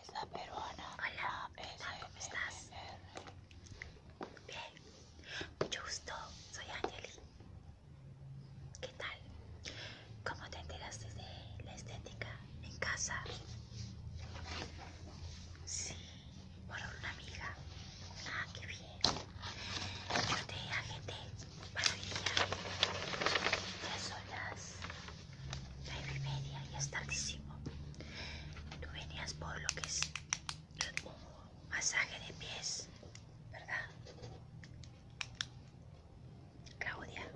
Esa peruana. Hola, ah, ¿cómo estás? Bien, mucho gusto, soy Angeli. ¿Qué tal? ¿Cómo te enteraste de la estética en casa? Sí, por una amiga. Ah, qué bien. Yo te agente para hoy día. Ya son nueve y media, ya es tardísimo. Tú venías por lo que es un masaje de pies, ¿verdad? Claudia,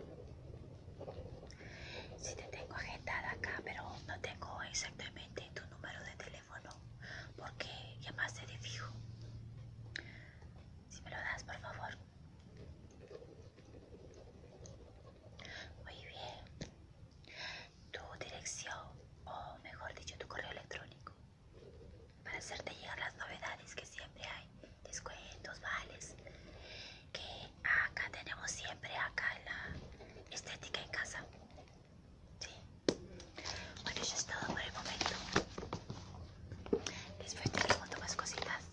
si te tengo agendada acá, pero no tengo exactamente tu número de teléfono porque llamaste de fijo. Si me lo das, por favor. Muy bien. Tu dirección, o mejor dicho, tu correo electrónico, para hacerte llegar las novedades que siempre hay, descuentos, vales, que acá tenemos siempre, acá la estética en casa. Sí. Bueno, eso es todo por el momento. Después un montón más cositas.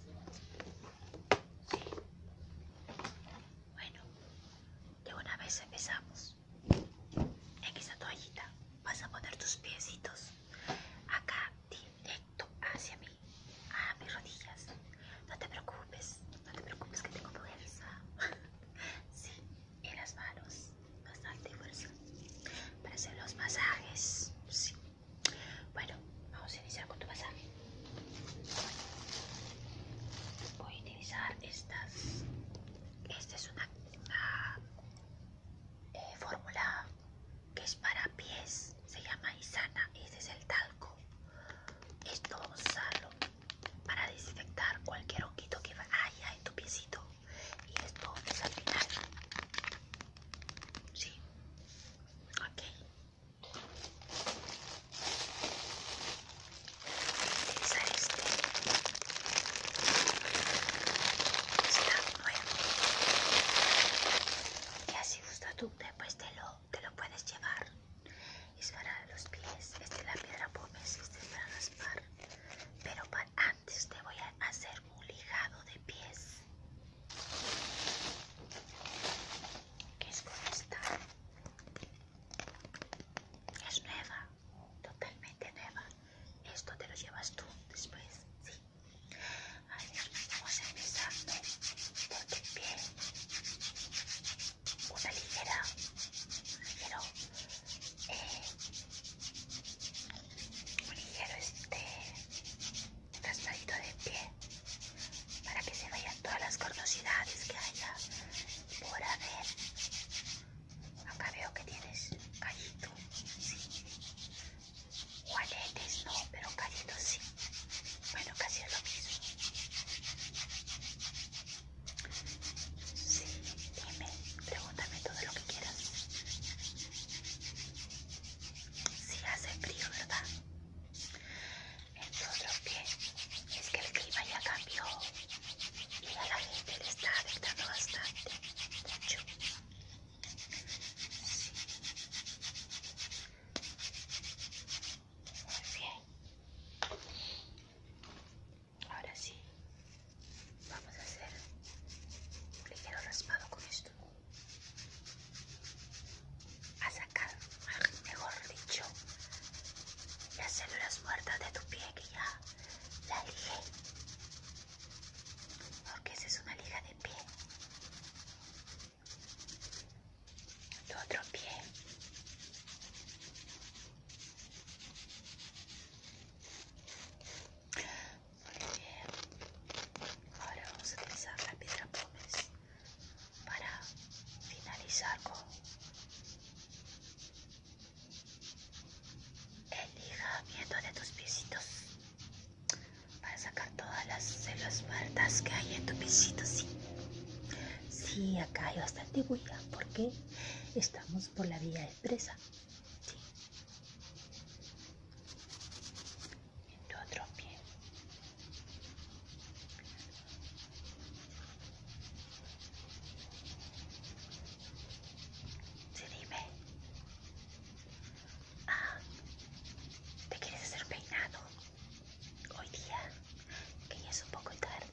Bueno, de una vez empezamos. En esta toallita vas a poner tus piesitos acá directo hacia mí, a mis rodillas. No te preocupes, no te preocupes que tengo fuerza. sí, en las manos, bastante fuerza. Para hacer los masajes, sí. Bueno, vamos a iniciar con tu masaje. Voy a utilizar estas. Esta es una, eh, fórmula que es para pies. Se llama Isana. Este es el talco. Esto vamos a usarlo para desinfectar cualquier honguito que haya en tu piecito. Y esto es al final. Sí. Ok utilizar este. Y así gusta tú, después te lo, te lo puedes llevar. Es para los pies. Esta es la piedra pómez, este es para raspar. Pero para, antes te voy a hacer un lijado de pies que es como esta es nueva totalmente nueva esto te lo llevas tú después sí a ver vamos por tu piel una ligera un ligero eh, un ligero este raspadito de pie para que se vayan todas las cordosidades que haya por haber. Acá veo que tienes callito, sí. Juanetes no, pero callito sí. Bueno, casi es lo mismo. Sí, dime, pregúntame todo lo que quieras. si hace frío, ¿verdad? Entonces lo es que el clima ya cambió y a la gente le está afectando bastante, mucho. Muy bien. Ahora sí, vamos a hacer un ligero raspado con esto a sacar, mejor dicho, las células muertas de tu pie que ya la dije. Porque esa es una lija de pie. Tu otro pie. Muy bien. Ahora vamos a empezar la piedra pómez para finalizar con el de tus piecitos para sacar todas las células muertas que hay en tu piecito, sí. Sí, acá hay bastante bulla porque estamos por la vía expresa. Sí tu otro pie. Sí, dime. Ah, ¿te quieres hacer peinado? Hoy día, que ya es un poco tarde.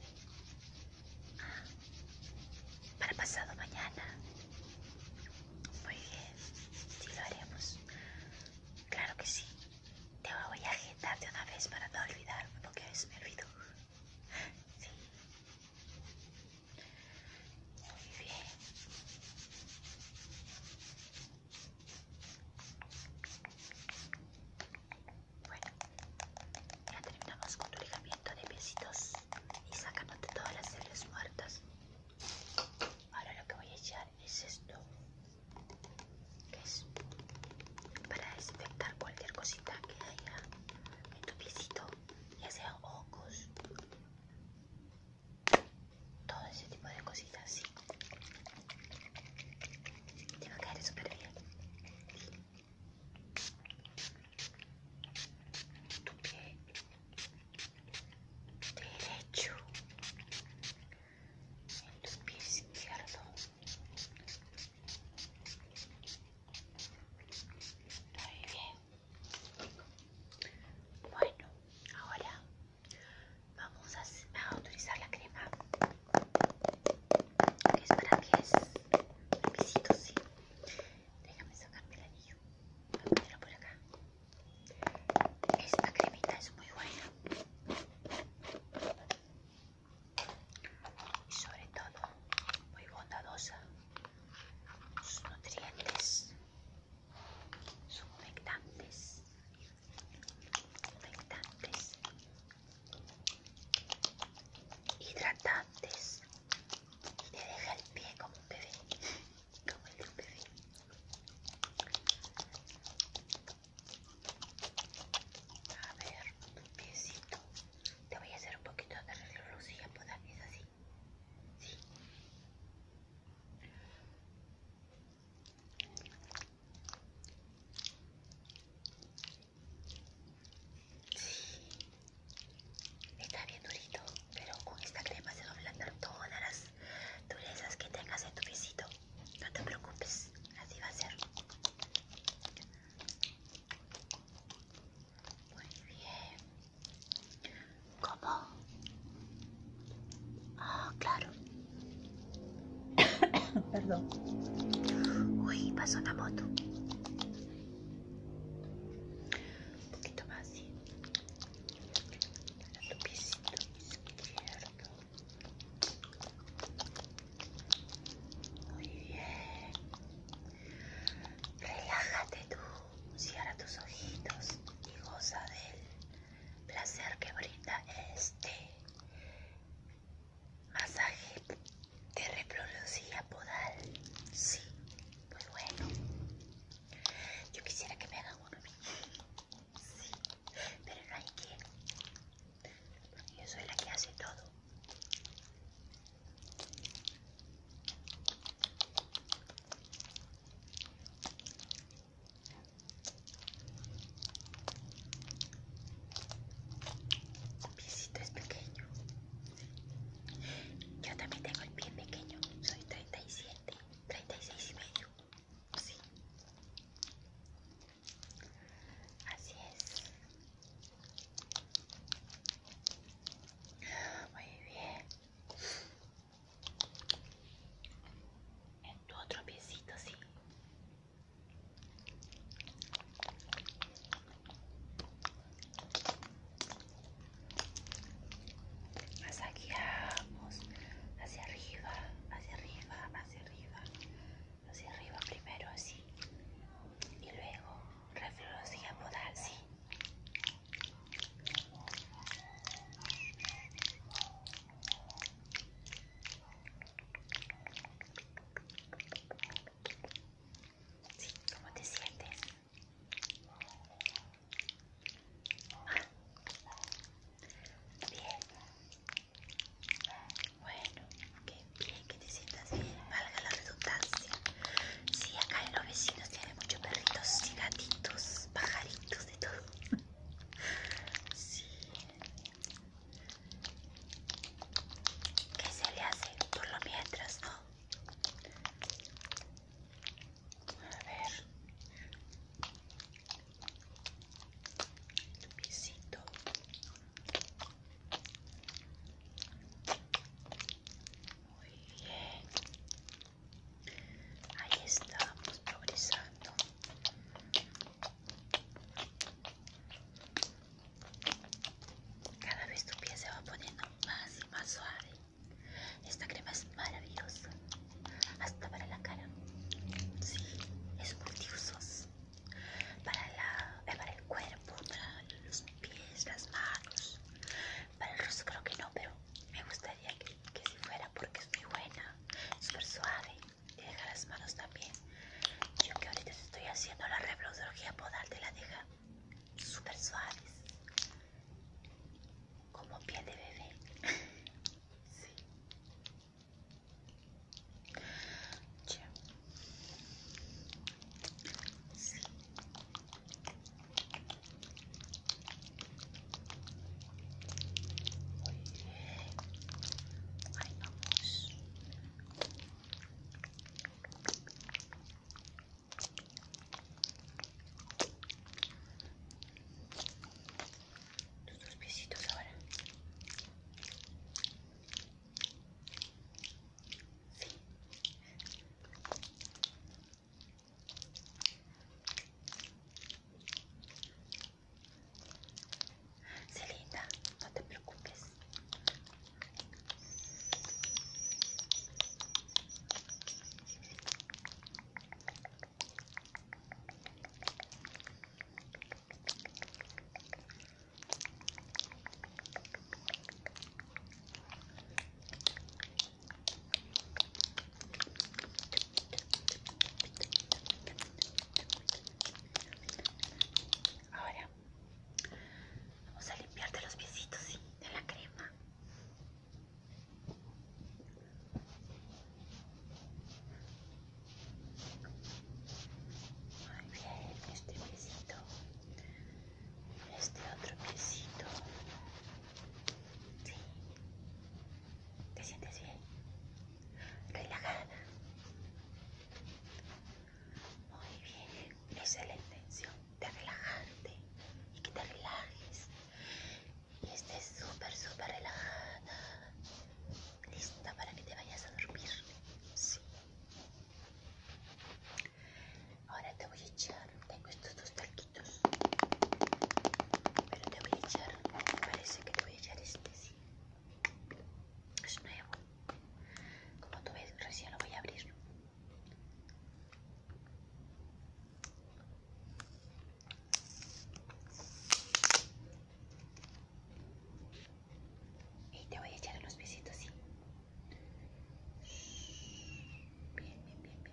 para ah, para pasado mañana. Muy bien, sí lo haremos. Claro que sí. Te voy a agitar de una vez para no olvidar porque es es Sí. Muy bien. Bueno, ya terminamos con tu ligamiento de piecitos y sacándote todas las células muertas. Ahora lo que voy a echar es esto que es para desinfectar cualquier cosita que haya en tu piecito ya sea ojos todo ese tipo de cositas sí te va a caer súper bien tu pie derecho en tu pie izquierdo muy bien bueno ahora vamos a, a utilizar la crema que es para pies es pisitos, sí déjame sacarme el anillo voy a por acá esta cremita es muy buena y sobre todo muy bondadosa. Sus nutrientes son humectantes, humectantes, hidratantes y te deja el pie como un bebé como el duque a ver, piecito te voy a hacer un poquito de reloj a podar. es así sí Sí, está bien durito, pero con esta crema se va a toda todas las Tú durezas que tengas en tu visito. No te preocupes, así va a ser. Muy bien. ¿Cómo? Ah, claro. Perdón. Uy, pasó una moto. Un poquito más, sí izquierdo muy bien relájate tú cierra tus ojitos y goza del placer que brinda este masaje de reproducción podal sí muy pues bueno yo quisiera que me hagan uno Sí, pero nadie quiere. yo soy la que hace todo. Su piecito es pequeño. Yo también tengo el pie pequeño. Soy 37, 36 y medio. Sí. Así es. Muy bien. En tu otro piecito, sí hacia arriba, hacia arriba, hacia arriba, hacia arriba primero así y luego reflexia podal así. Sí, ¿cómo te sientes? Bien. Bueno, qué bien que te sientas bien, valga la redundancia. Sí, acá en los vecinos tiene muchos perritos y gatitos, pajaritos, de todo. Sí. ¿Qué se le hace por lo mientras, no? A ver. Muy bien. Ahí estamos progresando. Cada vez tu pie se va poniendo más y más suave. Esta crema es maravillosa, hasta para la cara. Sí, es multiusos. Eh, para, el cuerpo, para los pies, las manos. Para el rostro creo que no, pero me gustaría que, que si fuera porque es muy buena, súper suave. deja las manos también. Yo que ahorita estoy haciendo la rebrosología podal, te la deja super suaves como pie de bebé. sí. sí. Ahí vamos. Tus dos piecitos ahora. Sí. Celita, no te preocupes. Ahora vamos a limpiarte los piecitos de la crema. Muy bien, este piecito, este otro piecito. Sí. ¿Te sientes bien? Relajada. Muy bien, esa es la intención de relajarte y que te relajes y este estés súper, súper relajada, lista para que te vayas a dormir. Sí. Ahora te voy a echar, tengo estos dos taquitos, pero te voy a echar, me parece que te voy a echar este, sí. Es nuevo. Como tú ves, recién lo voy a abrir. Y te voy a echar unos piecitos, ¿sí? Bien, bien, bien, bien,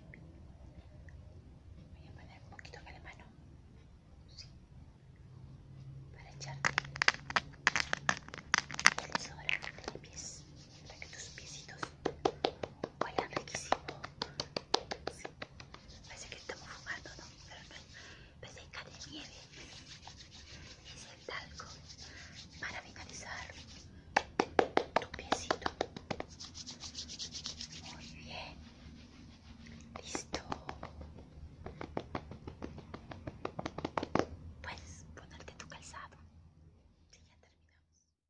Voy a poner un poquito acá la mano. Sí. Para echarte el desodorante de pies para que tus piecitos huelan riquísimo. Parece que estamos fumando, ¿no? Pero no, parece de nieve. Es el talco para finalizar tu piecito. Muy bien. Listo. Puedes ponerte tu calzado. Sí, ya terminamos.